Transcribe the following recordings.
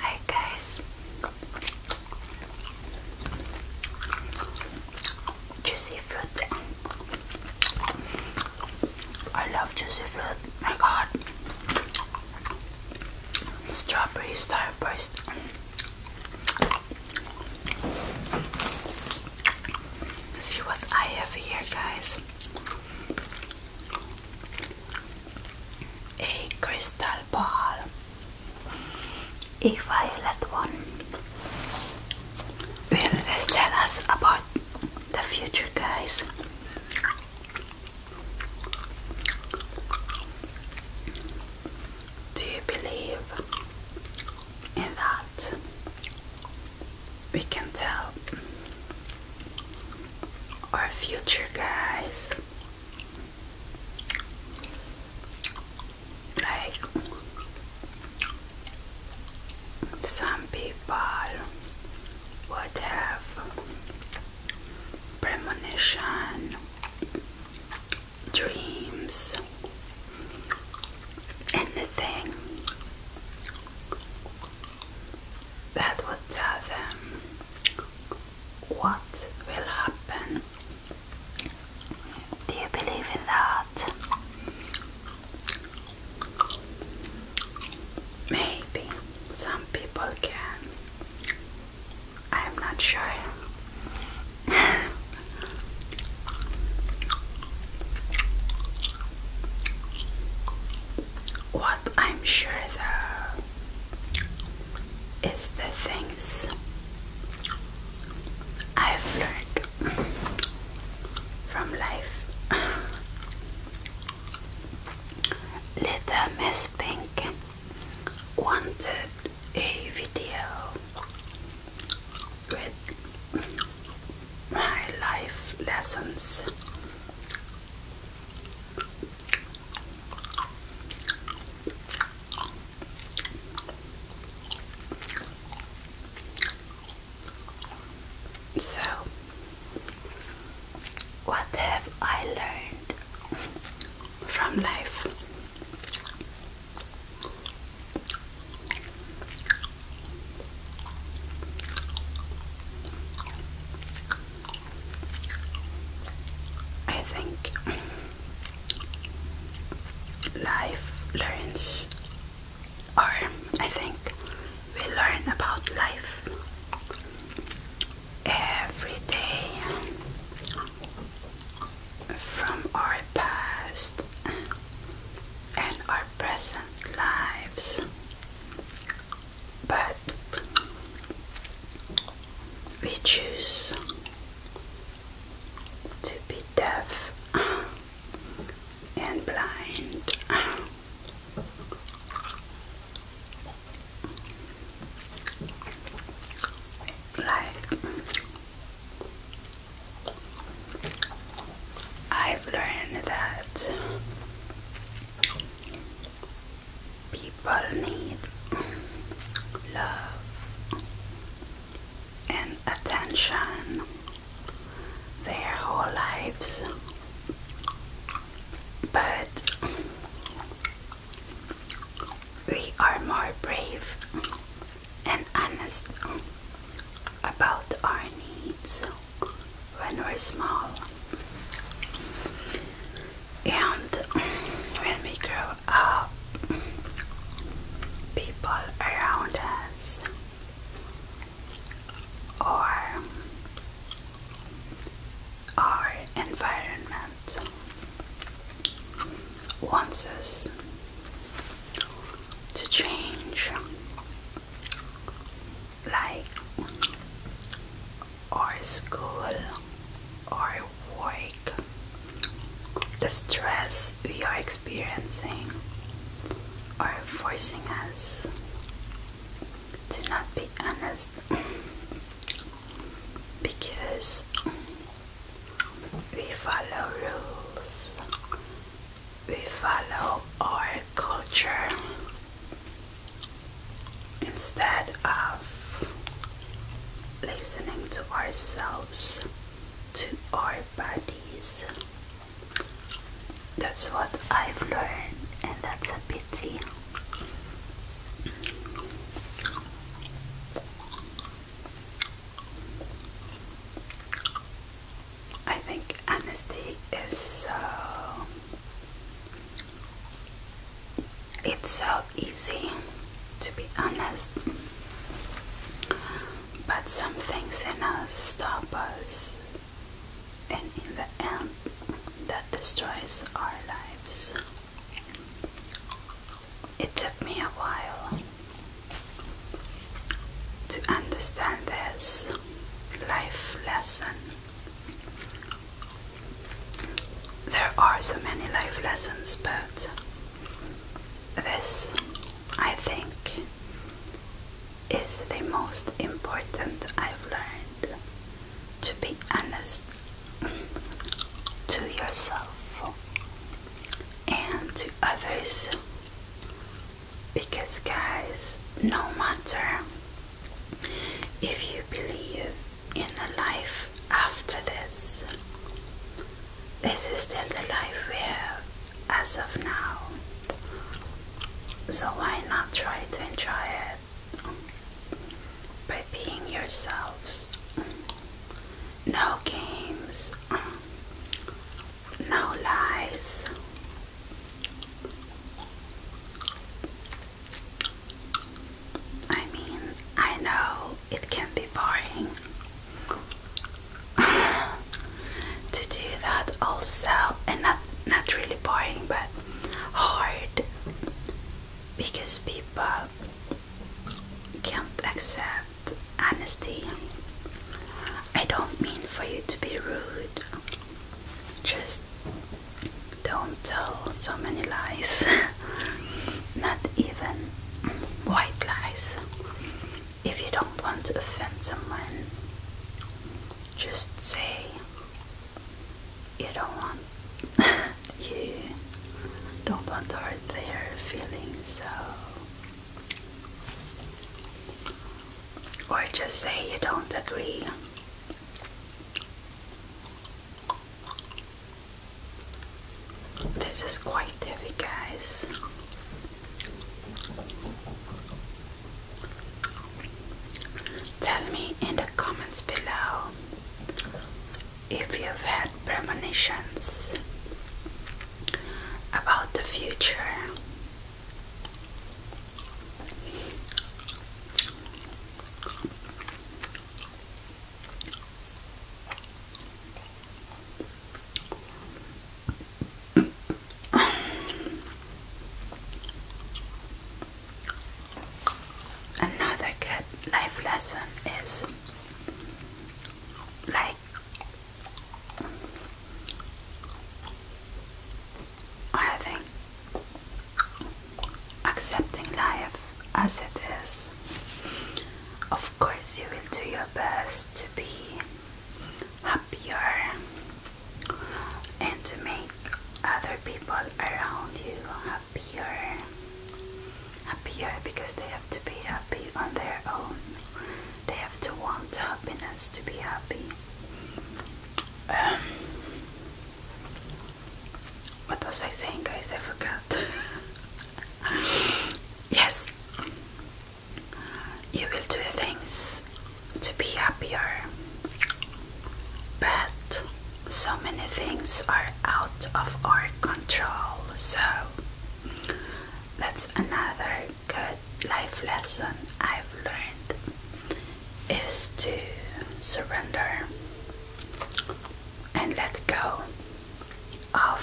Hi guys, juicy fruit. I love juicy fruit. My God, strawberry starburst. See what I have here, guys a crystal ball, a violet one, will tell us about the future, guys. Do you believe in that? We can tell our future, guys. Like some people would have premonition, dreams, anything that would tell them what will happen. Do you believe in that? Maybe some people can. I'm not sure. what I'm sure though is the things I've learned from life. Little Miss Pink wanted a video with my life lessons so, what have I learned from life? I think life learns, or I think we learn about life every day from our past and our present lives but we choose to be deaf and blind. Like, I've learned that People need love and attention their whole lives, but we are more brave and honest about our needs when we're small. And when we grow up, people around us or our environment wants us to change like our school or work, the stress we are experiencing are forcing us to not be honest because we follow rules, we follow our culture instead of listening to ourselves, to our bodies. That's what I've learned, and that's a pity. I think honesty is so uh, it's so easy to be honest, but some things in us stop us, and in the end, that destroys our lives. It took me a while to understand this life lesson. There are so many life lessons, but this, I think, is the most important I've learned to be honest to yourself and to others. Because, guys, no matter if you believe in a life after this, this is still the life we have as of now. So why not try to enjoy it by being yourselves? No games, no lies, I mean, I know it can be boring to do that also, and not not really boring, but hard because people can't accept honesty. I don't mean for you to be rude. Just don't tell so many lies, not even white lies. If you don't want to offend someone, just say you don't want you don't want to hurt their feelings, so or just say you don't agree this is quite heavy, guys. Tell me in the comments below if you've had premonitions about the future Another good life lesson is like I think accepting life as it is. Of course, you will do your best to be happier and to make other people around you happier. Happier because they have to be happy on their own. They have to want happiness to be happy. Um, what was I saying, guys? I forgot. yes, you will do things to be happier, but so many things are out of our control. So that's another good life lesson I've learned is to surrender and let go of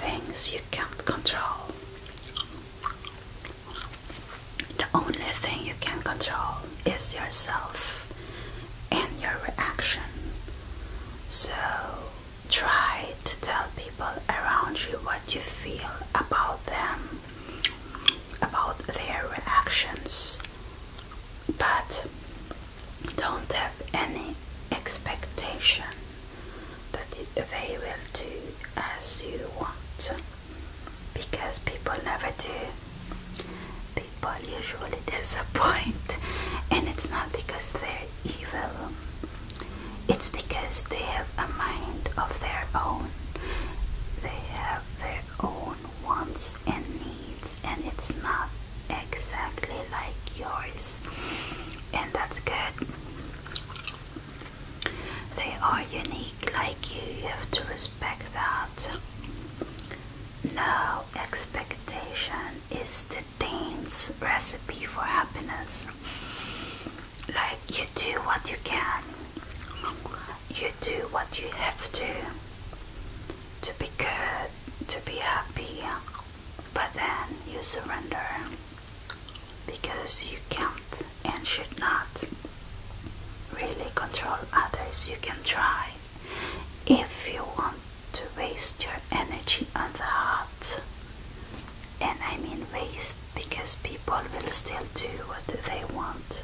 things you can't control. The only thing you can control is yourself and your reaction. So try to tell people around you what you feel about them about their reactions, but don't have any expectation that they will do as you want because people never do. People usually disappoint, and it's not because they're evil, it's because they have a mind of their own, they have their own wants and needs, and it's not exactly like yours, and that's good. They are unique like you, you have to respect that. No expectation is the Dane's recipe for happiness. Like you do what you can you do what you have to to be good, to be happy, but then you surrender because you can't and should not really control others. You can try if you want to waste your energy on that, and I mean waste because people will still do what they want.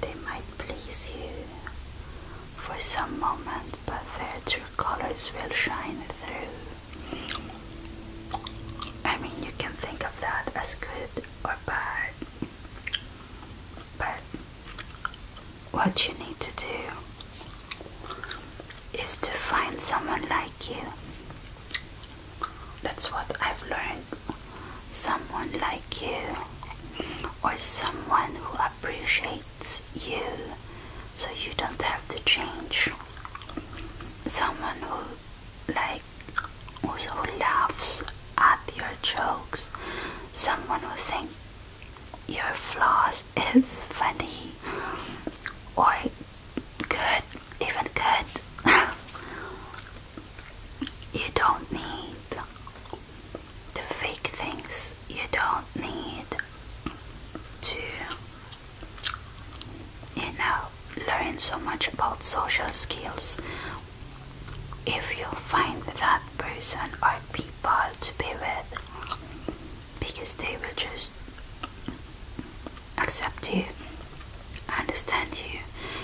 They might please you for some moment, but their true colors will shine through. I mean, you can think of that as good or bad, but what you need to do is to find someone like you. That's what I've learned someone like you or someone who appreciates you so you don't have to change someone who like also laughs at your jokes someone who thinks your flaws is funny or good even good You don't need to fake things. You don't need to, you know, learn so much about social skills. If you find that person or people to be with, because they will just accept you I understand you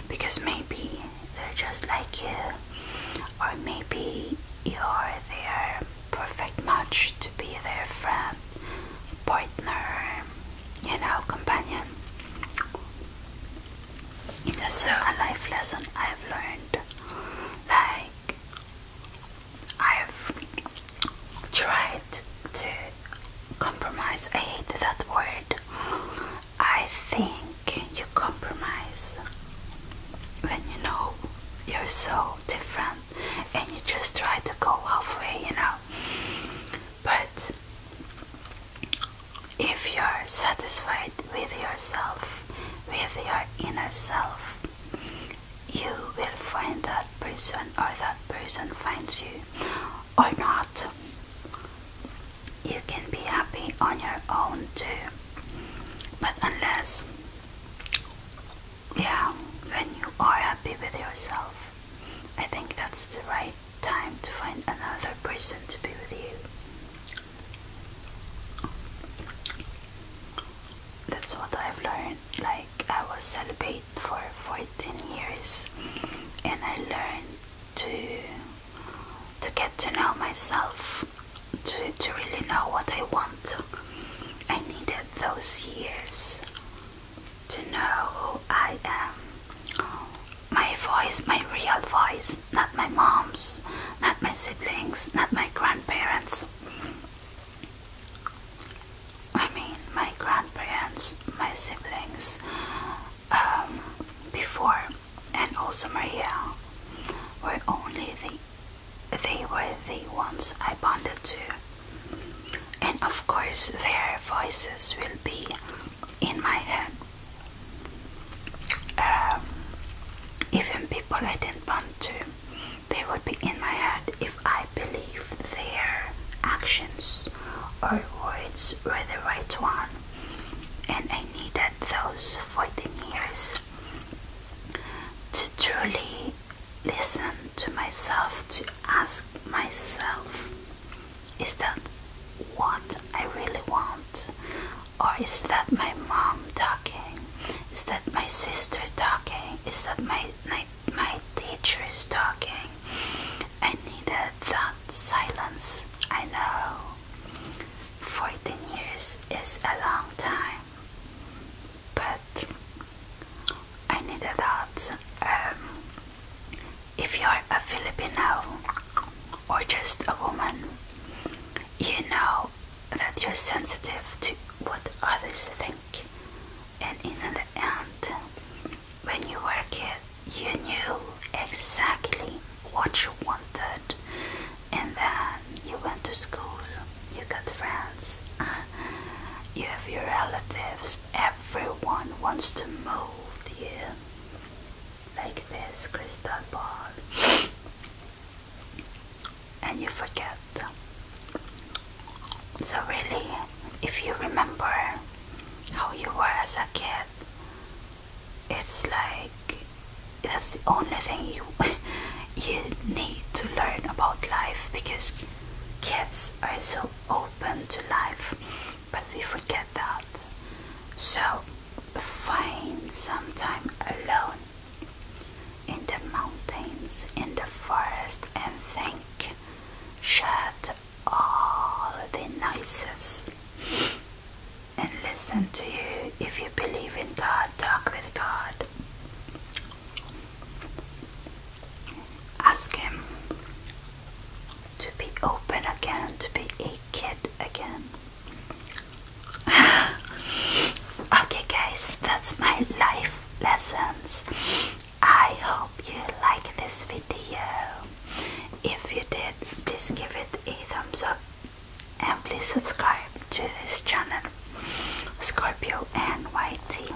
because maybe they're just like you, or maybe you're their perfect match to be their friend, partner, you know, companion. That's so a life lesson I've learned. Like, I've tried to compromise. I hate that word. I think you compromise when you know you're so different and you just try to go halfway, you know. But if you're satisfied with yourself, with your inner self, you will find that person, or that person finds you, or not you can be happy on your own too. But unless, yeah, when you are happy with yourself, I think that's the right time to find another person to be with you. That's what I've learned. Like, I was celibate for 14 years, and I learned to to get to know myself, to, to really know what I want. I needed those years to know who I am. My voice, my real voice, not my mom's, not my siblings, not my grandparents. I mean, my grandparents, my siblings, um, before and also Maria were only the they were the ones I bonded to. And of course their voices will be in my head. Um, even people I didn't bond to, they would be in my head if I believe their actions or words were the right one and I needed those 14 years to truly listen to myself, to ask myself, is that what I really want? Or is that my mom talking? Is that my sister talking? Is that my my, teacher is talking? I needed that silence, I know. 14 years is a long time, but I needed that. Um, if you're a Filipino or just a woman, you know that you're sensitive to what others think, and in the end, when you were a kid, you knew exactly what you wanted, and then you went to school, you got friends, you have your relatives, everyone wants to mold you like this crystal ball, and you forget. So, really, if you remember how you were as a kid, it's like that's the only thing you you need to learn about life because kids are so open to life but we forget that so find some time alone in the mountains in the forest and think shut all the noises and listen to you if you believe in God, talk with God. Ask Him to be open again, to be a kid again. okay, guys, that's my life lessons. I hope you like this video if you did, please give it a thumbs up and please subscribe to this channel, Scorpio N Y T,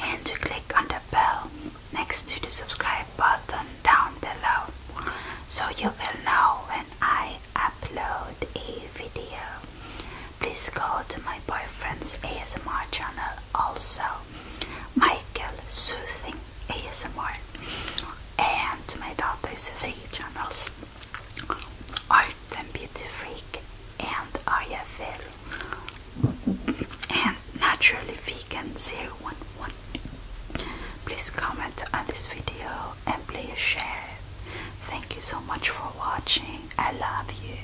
and to click on the bell next to the subscribe button down below so you will know when I upload a video. Please go to my boyfriend's ASMR channel also Michael Soothing ASMR and my daughter is three channels Art and Beauty Freak and IFL and Naturally Vegan Zero One One. Please comment on this video and please share Thank you so much for watching. I love you.